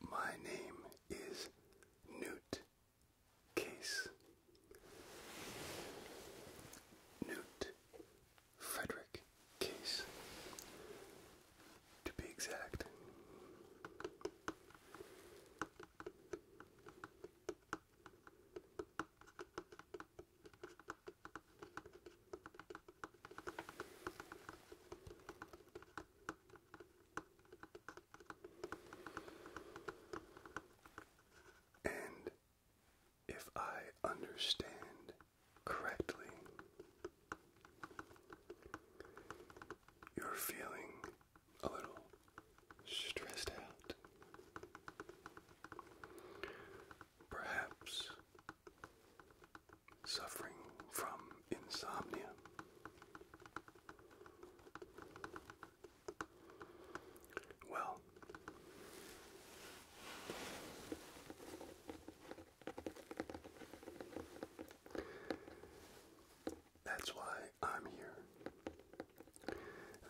My name is Newt Case. Newt Frederick Case, to be exact. And if I understand correctly, you're feeling a little stressed out. Perhaps suffering from insomnia. Well, that's why I'm here.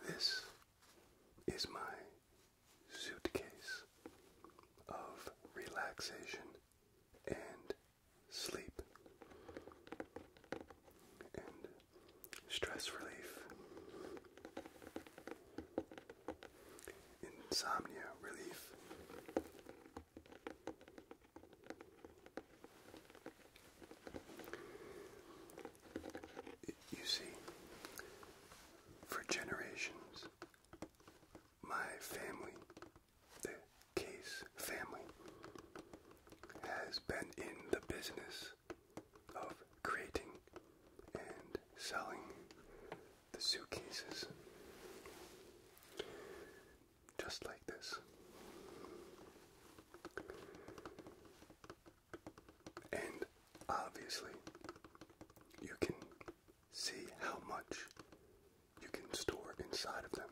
This is my suitcase of relaxation and sleep and stress relief Insomnia relief. You see, for generations, my family, the Case family, has been in the business of creating and selling the suitcases just like this. And obviously, you can see how much you can store inside of them.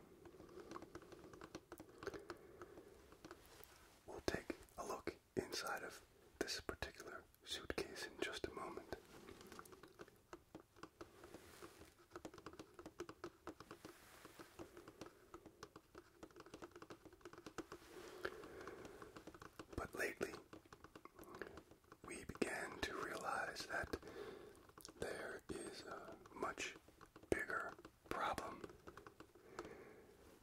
We'll take a look inside of this particular suitcase in just a moment. But lately, we began to realize that there is a much bigger problem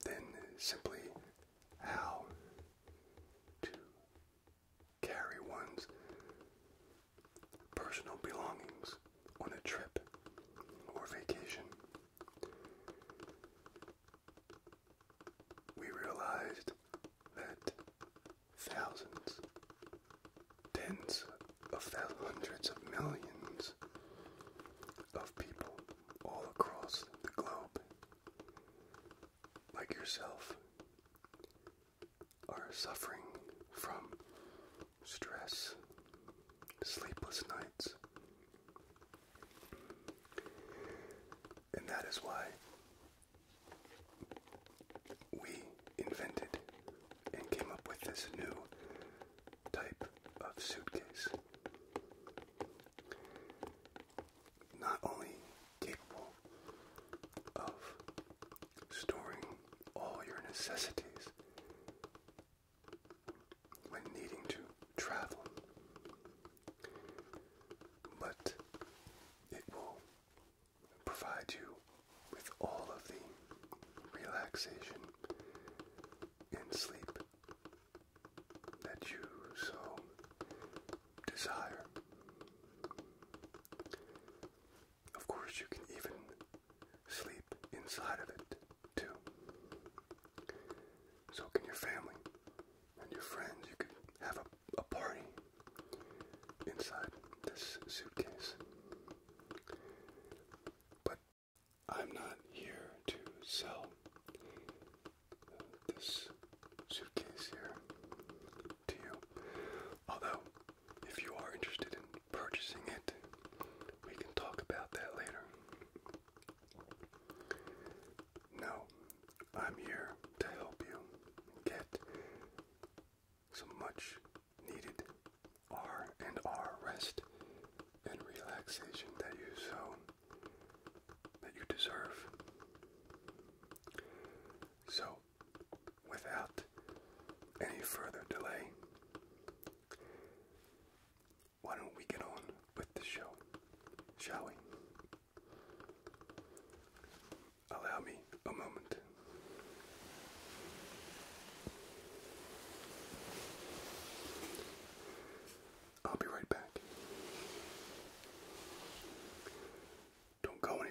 than simply how to carry one's personal belongings on a trip or vacation. We realized that thousands, tens of thousands, hundreds of millions of people all across the globe like yourself are suffering from stress, sleepless nights. And that is why we invented and came up with this new type of suitcase not only capable of storing all your necessities when needing to travel, but it will provide you with all of the relaxation and sleep that you so desire. Of course, you can even sleep inside of it too. So can your family and your friends. You can have a, party inside this suitcase. But I'm not here to sell this suitcase here to you. Although, if you are interested in purchasing it, we can talk about that later. No, I'm here to help you get some much needed R and R rest and relaxation that you so that you deserve. So, without any further delay, why don't we get on with the show, shall we? Allow me a moment. I'll be right back. Don't go anywhere.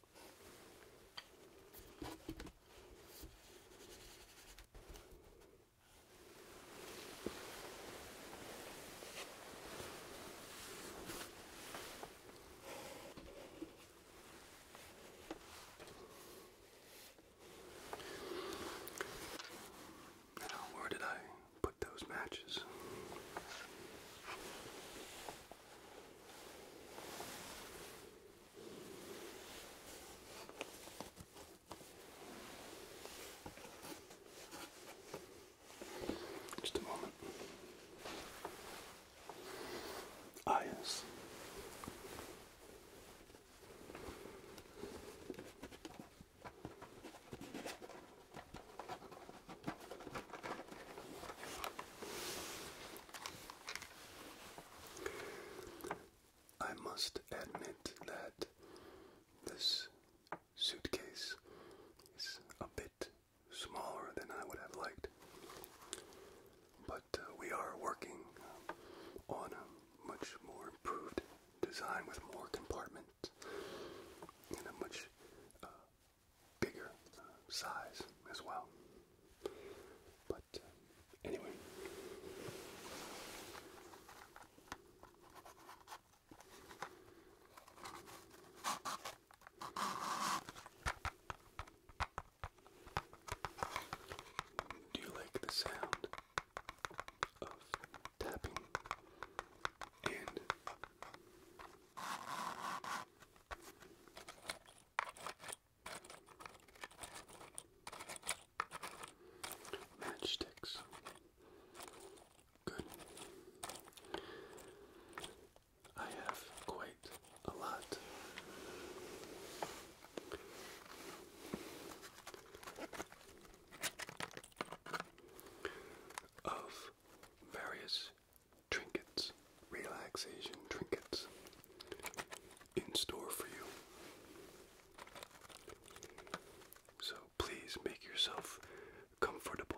Now, where did I put those matches? Just a moment. Ah, yes. I must admit that this suitcase is a bit smaller than I would have liked, but uh, we are working on a much more improved design with more compartments and a much uh, bigger uh, size as well. But uh, anyway. Do you like the sound of tapping and Matchsticks. Good. I have quite a lot. Of various trinkets relaxation trinkets in store for you. So please make yourself comfortable.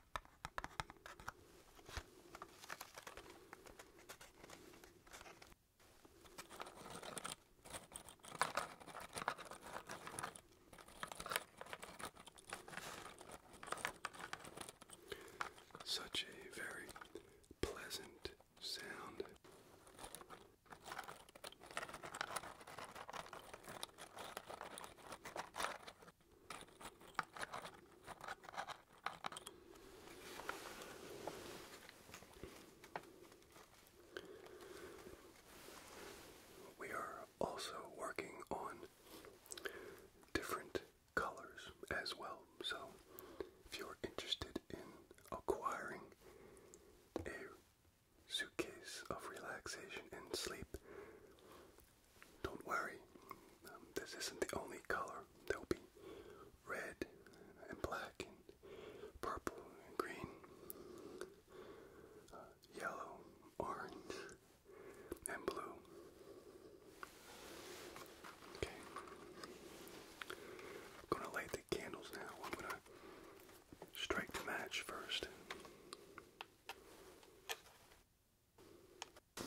Such a very pleasant sound. We are also working on different colors as well. So, if you're interested in acquiring a suitcase of relaxation and sleep, don't worry, um, this isn't the only color. There'll be red and black and purple and green, uh, yellow, orange, and blue. Okay. I'm gonna light the candles now. I'm gonna strike the match first. I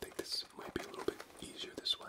think this might be a little bit easier this way.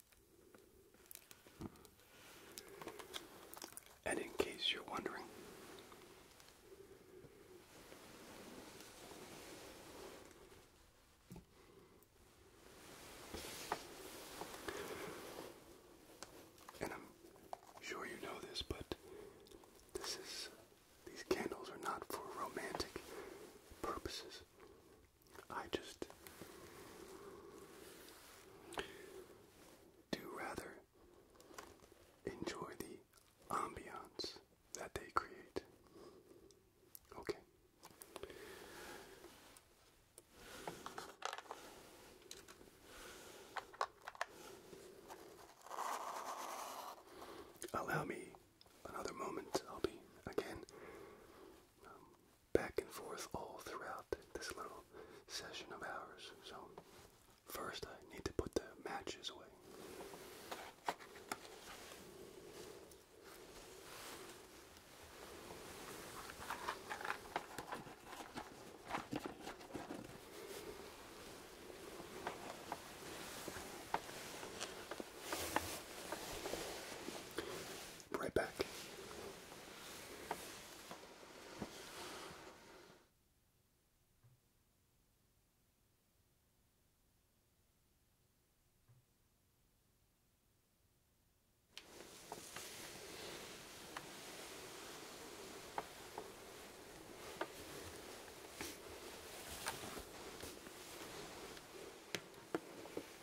And in case you're wondering, and I'm sure you know this, but this is these candles are not for romantic purposes. I just do rather enjoy the ambiance that they create. Okay. Allow me another moment. I'll be again um, back and forth all throughout this little session of ours. So, first, I need to put the matches away. Be right back.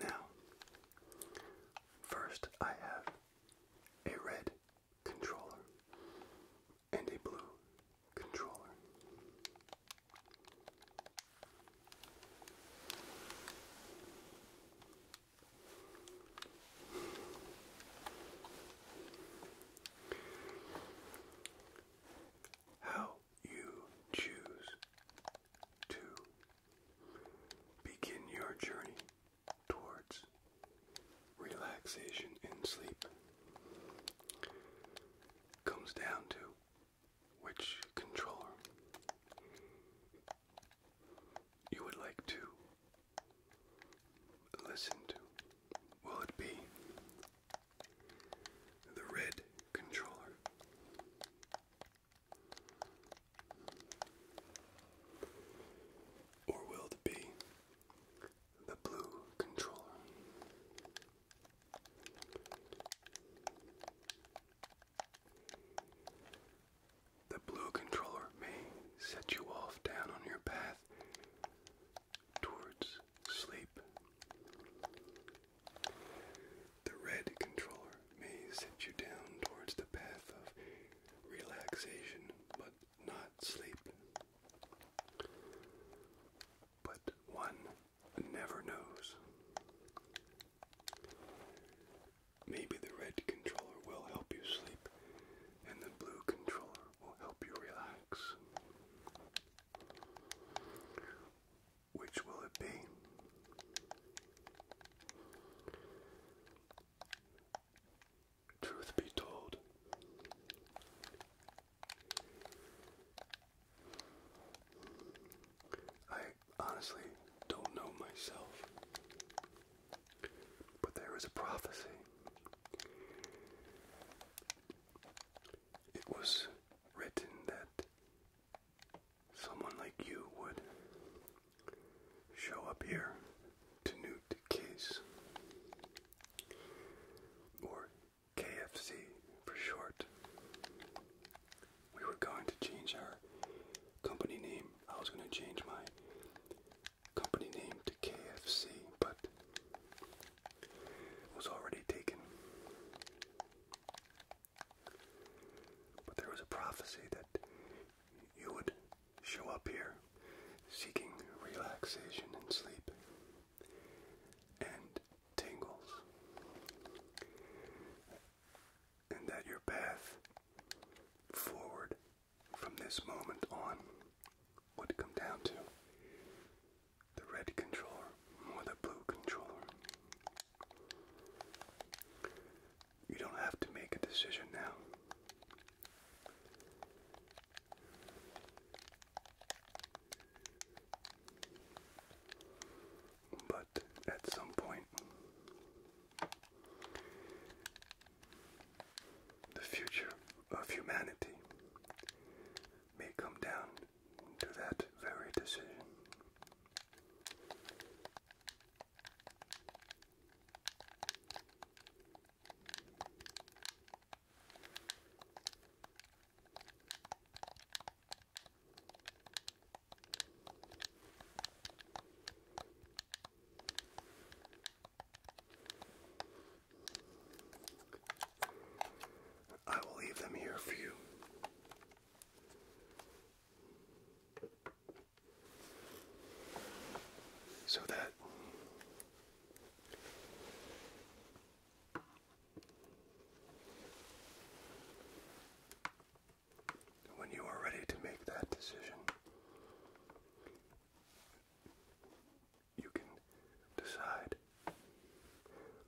Now, first I have a red controller and a blue controller. How you choose to begin your journey towards relaxation and sleep comes down to which controller you would like to listen to. Will it be the red controller. Or will it be the blue controller? The blue controller may set you off down on your path towards sleep the red controller may set you down towards the path of relaxation but not sleep. But one never knows. Maybe the red controller will help you sleep, and the blue controller will help you relax. Which will it be? Truth be told, I honestly don't know myself, but there is a prophecy. It was written that someone like you would show up here to Newt Case or KFC for short. We were going to change our company name. I was going to change my company name to KFC, but it was already taken. But there was a prophecy that you would show up here seeking relaxation and sleep and tingles, and that your path forward from this moment on would come down to the red controller or the blue controller. You don't have to make a decision now. But at some point, the future of humanity may come down to that very decision. I will leave them here for you so that when you are ready to make that decision, you can decide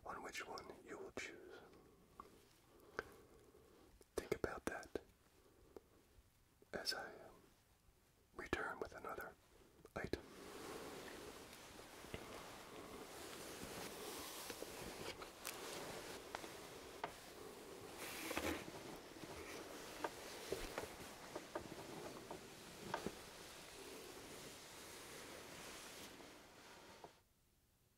on which one you will choose. Think about that as I return with another item.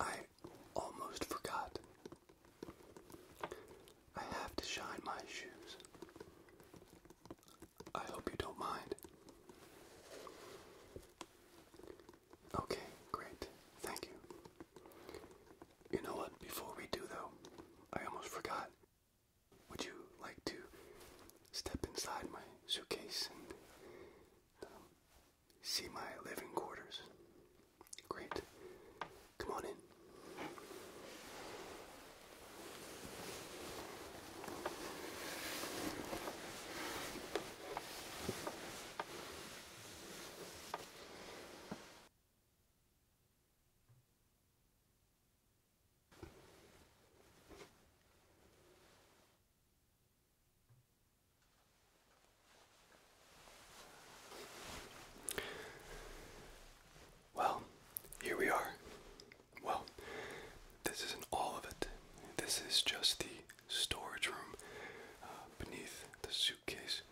I almost forgot. I have to shine my shoes. I hope you don't mind. Okay, great. Thank you. You know what? Before we do, though, I almost forgot. Would you like to step inside my suitcase and um, see my living quarters? Great. Come on in. Well, here we are. Well, this isn't all of it. This is just the storage room uh, beneath the suitcase.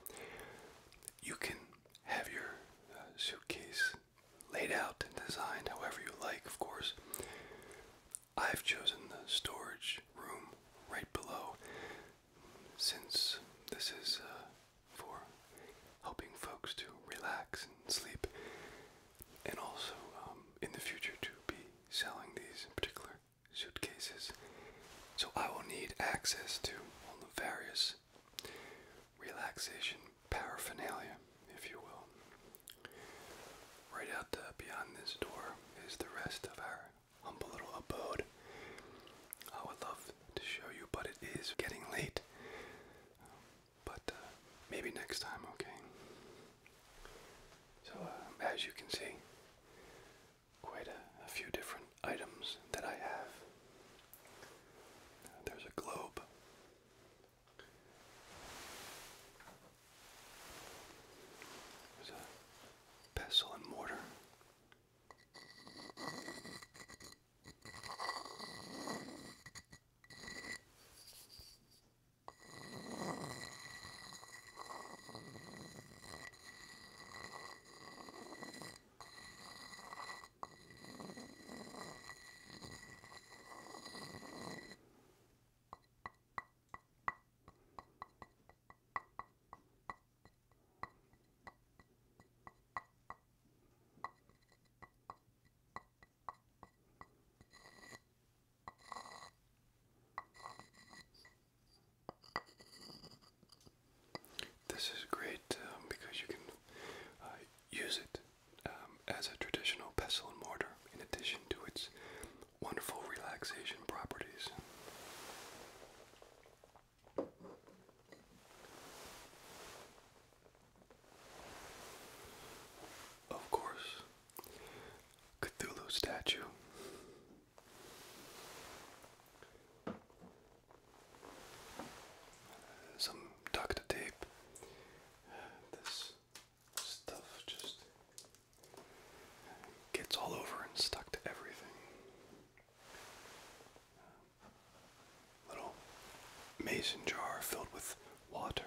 You can have your uh, suitcase laid out and designed however you like, of course. I've chosen the storage room right below since this is uh, for helping folks to relax and sleep, and also um, in the future to be selling these particular suitcases. So I will need access to all the various relaxation paraphernalia, if you will. Right out uh, beyond this door is the rest of our humble little abode. I would love to show you, but it is getting late. But uh, maybe next time, okay? So, uh, as you can see, quite a, few different items that I have. there's a globe, there's a pestle and mortar. This is great um, because you can uh, use it um, as a traditional pestle and mortar, in addition to its wonderful relaxation properties. Of course, Cthulhu statue. Some duct tape. This stuff just gets all over and stuck to everything. Little mason jar filled with water.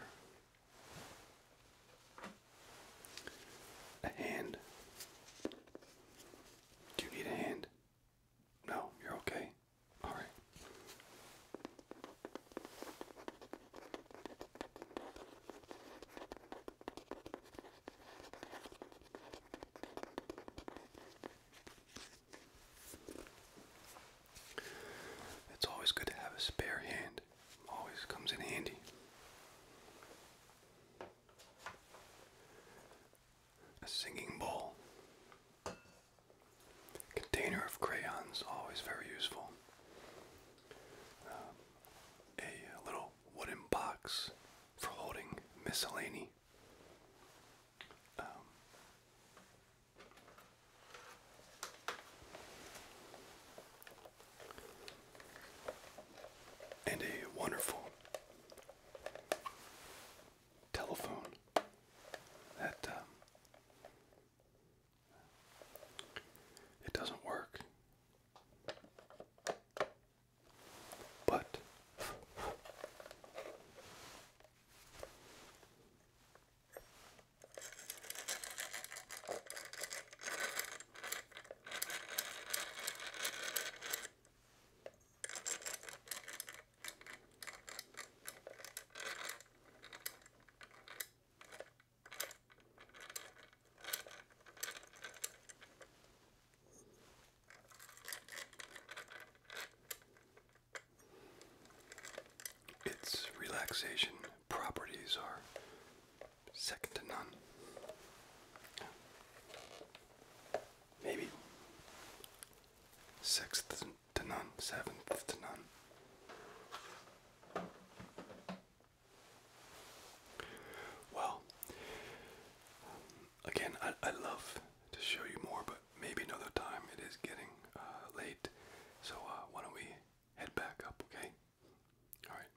A hand. Do you need a hand? No, you're okay. Alright. It's always good to have a spare hand. Always comes in handy. A singing bowl. Container of crayons, always very useful. Um, a little wooden box for holding miscellany. Um, and a wonderful telephone that um, it doesn't work. But its relaxation properties are second to none. Maybe sixth to none, seventh to none. Well, again, I, I love to show you more, but maybe another time. It is getting uh, late, so uh, why don't we head back up, okay? All right.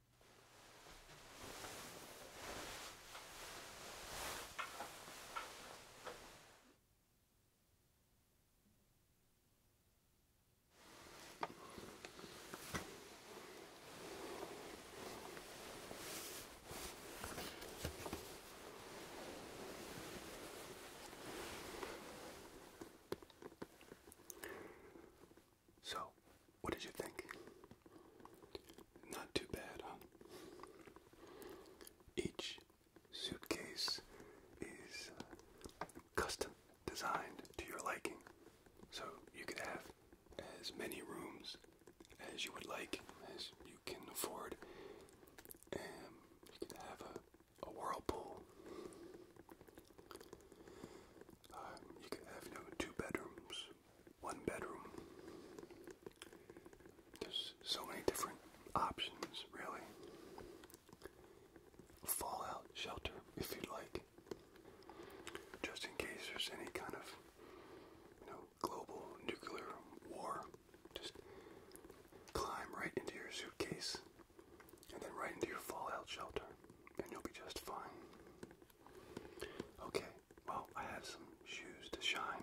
So, what did you think? Not too bad, huh? Each suitcase is uh, custom designed to your liking. So you could have as many rooms as you would like, as you can afford. And um, you can have a, a whirlpool. Um, you could have you know, two bedrooms, one bedroom. There's so many different options, really fallout shelter, if you'd like, just in case there's any kind of, you know, global nuclear war. Just climb right into your suitcase and then right into your fallout shelter, and you'll be just fine. Okay, well, I have some shoes to shine.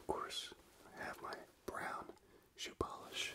Of course, I have my brown shoe polish.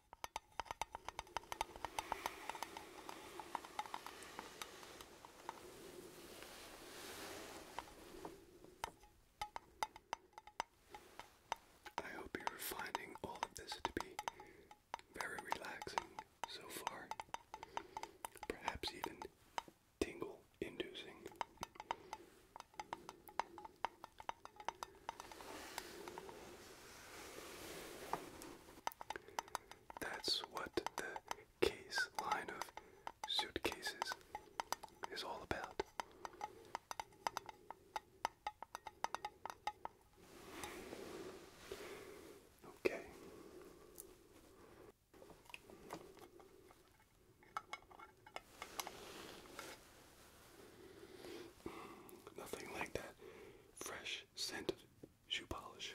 I hope you're finding all of this to be very relaxing so far, perhaps even tingle inducing. That's what the case line of suitcases is all about. Okay. Nothing like that fresh scented shoe polish.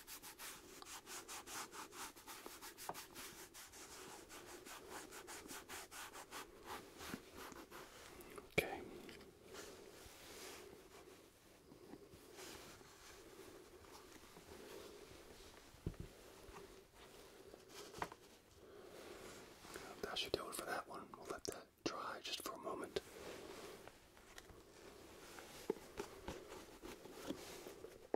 Okay. That should do it for that one. We'll let that dry just for a moment.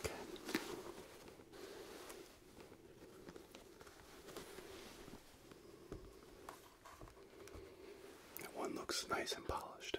Okay. That one looks nice and polished.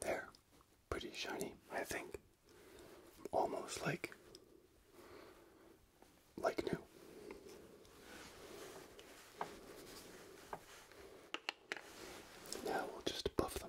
They're pretty shiny, I think. Almost like like new. Now we'll just buff them.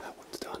That one's done.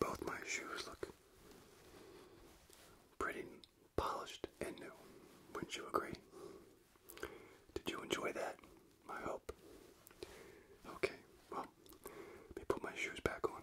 both my shoes look pretty polished and new. Wouldn't you agree? Did you enjoy that? I hope. Okay, well, let me put my shoes back on.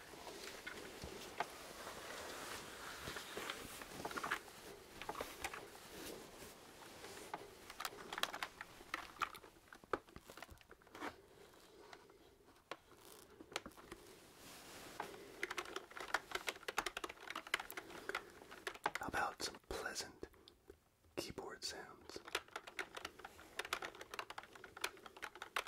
How about some pleasant keyboard sounds?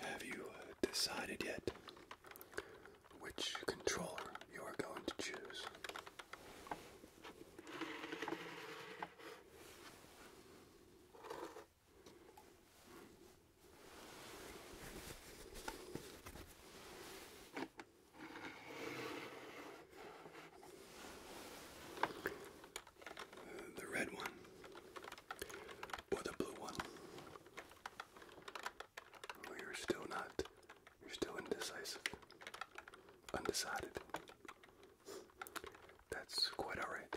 Have you uh, decided yet which controller you are going to choose? The red one or the blue one. you're still not, you're still indecisive, undecided. That's quite alright.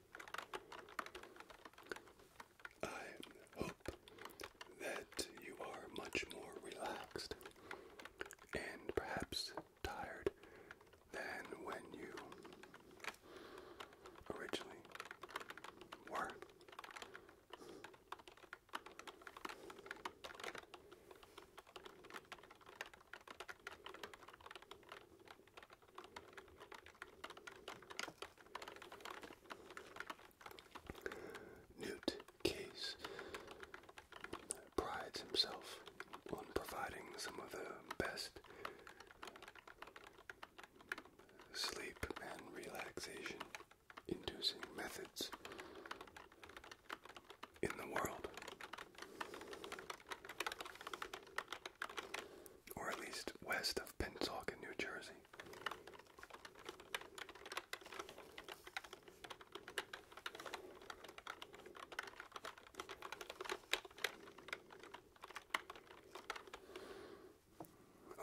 I hope that you are much more relaxed and perhaps tired than when you originally were. Newt Case prides himself on providing some of the best sleep and relaxation inducing methods in the world or at least west of Pennsauken, New Jersey.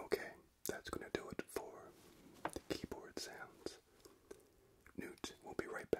Okay, that's going to do it for the keyboard sounds. Newt will be right back.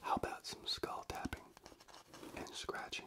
How about some skull tapping and scratching?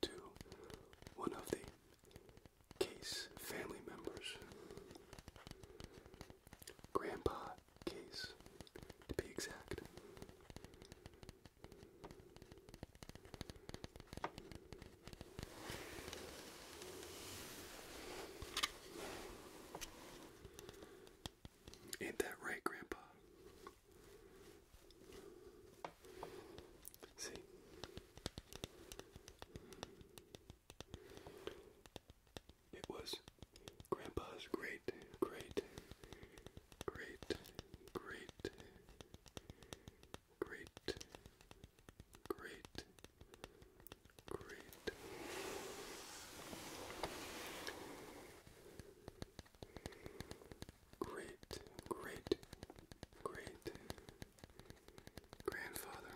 to one of the Case family members. Grandpa Case, to be exact. Ain't that right, Grandpa? See? It was Grandpa's great, great, great, great, great, great, great great, great, great grandfather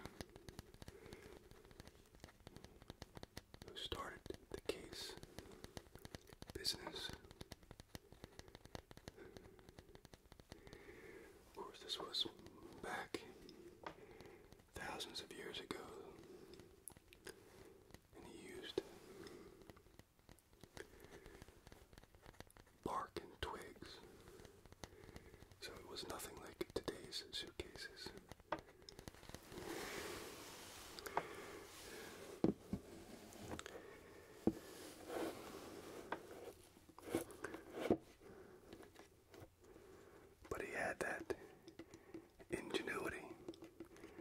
who started the case business. Of course, this was back thousands of years ago, and he used bark and twigs. So it was nothing like today's suitcases. But he had that ingenuity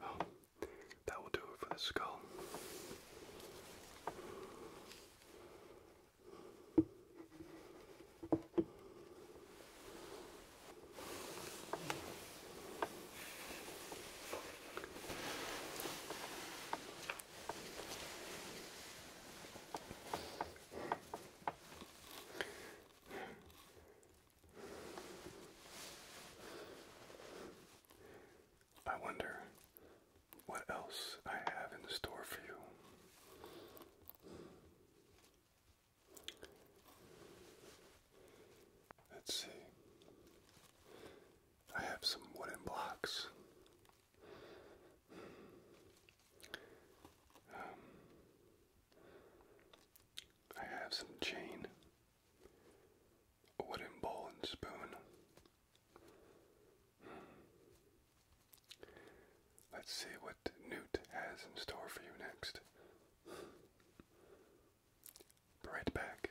Well, that will do it for the skull. I wonder what else I have in store for you. Let's see. I have some wooden blocks. Um, I have some chain, a wooden bowl and spoon. Let's see what Newt has in store for you next. right back.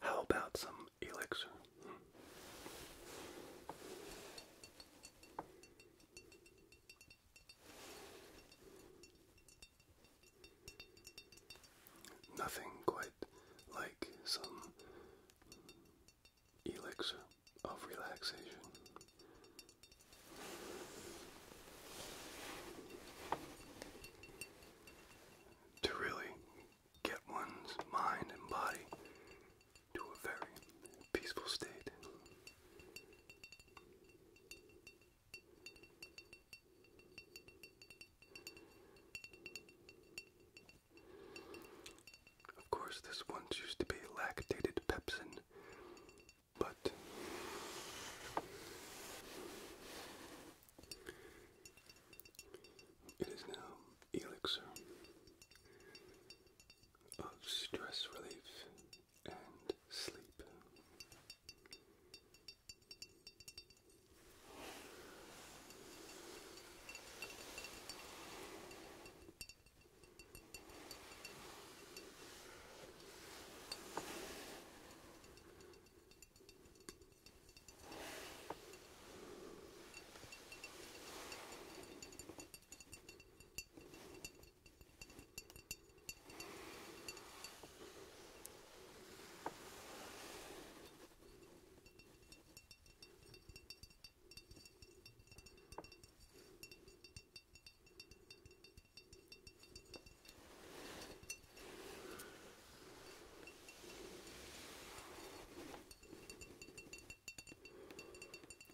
How about some elixir? Nothing quite like some elixir of relaxation. To really get one's mind and body to a very peaceful state. Of course, this once used to be lactated pepsin, but it is now elixir of stress relief and sleep.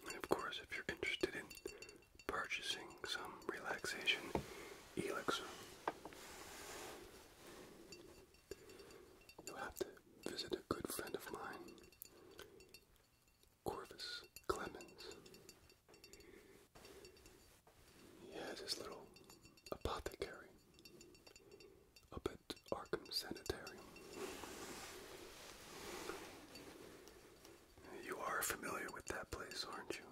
And of course, if you're interested in purchasing some relaxation elixir. You'll have to visit a good friend of mine, Corvus Clemens. He has his little apothecary up at Arkham Sanitarium. You are familiar with that place, aren't you?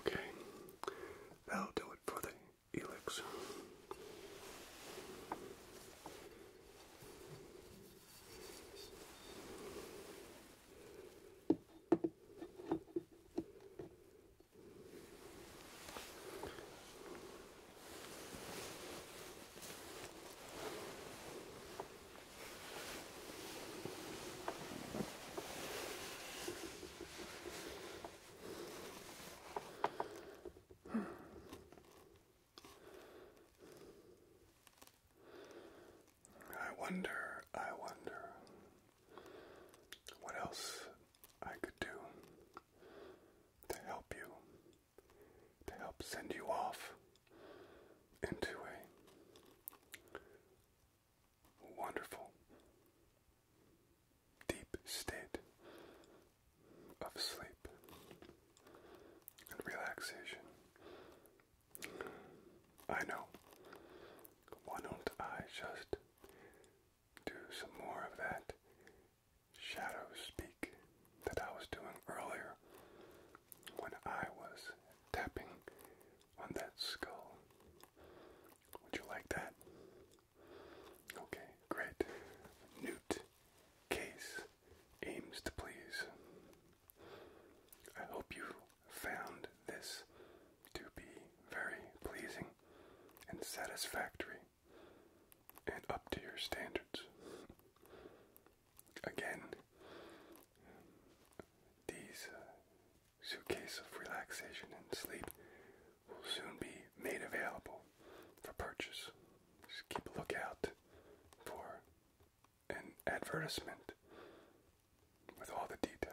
Okay, that'll do it for the elixir. I wonder, I wonder what else I could do to help you, to help send you off into a wonderful, deep state of sleep and relaxation. I know, why don't I just do some more of that shadow speak that I was doing earlier when I was tapping on that skull. Would you like that? Okay, great. Newt Case aims to please. I hope you found this to be very pleasing and satisfactory and up to your standards. Again, these uh, suitcases of relaxation and sleep will soon be made available for purchase. Just keep a lookout for an advertisement with all the details.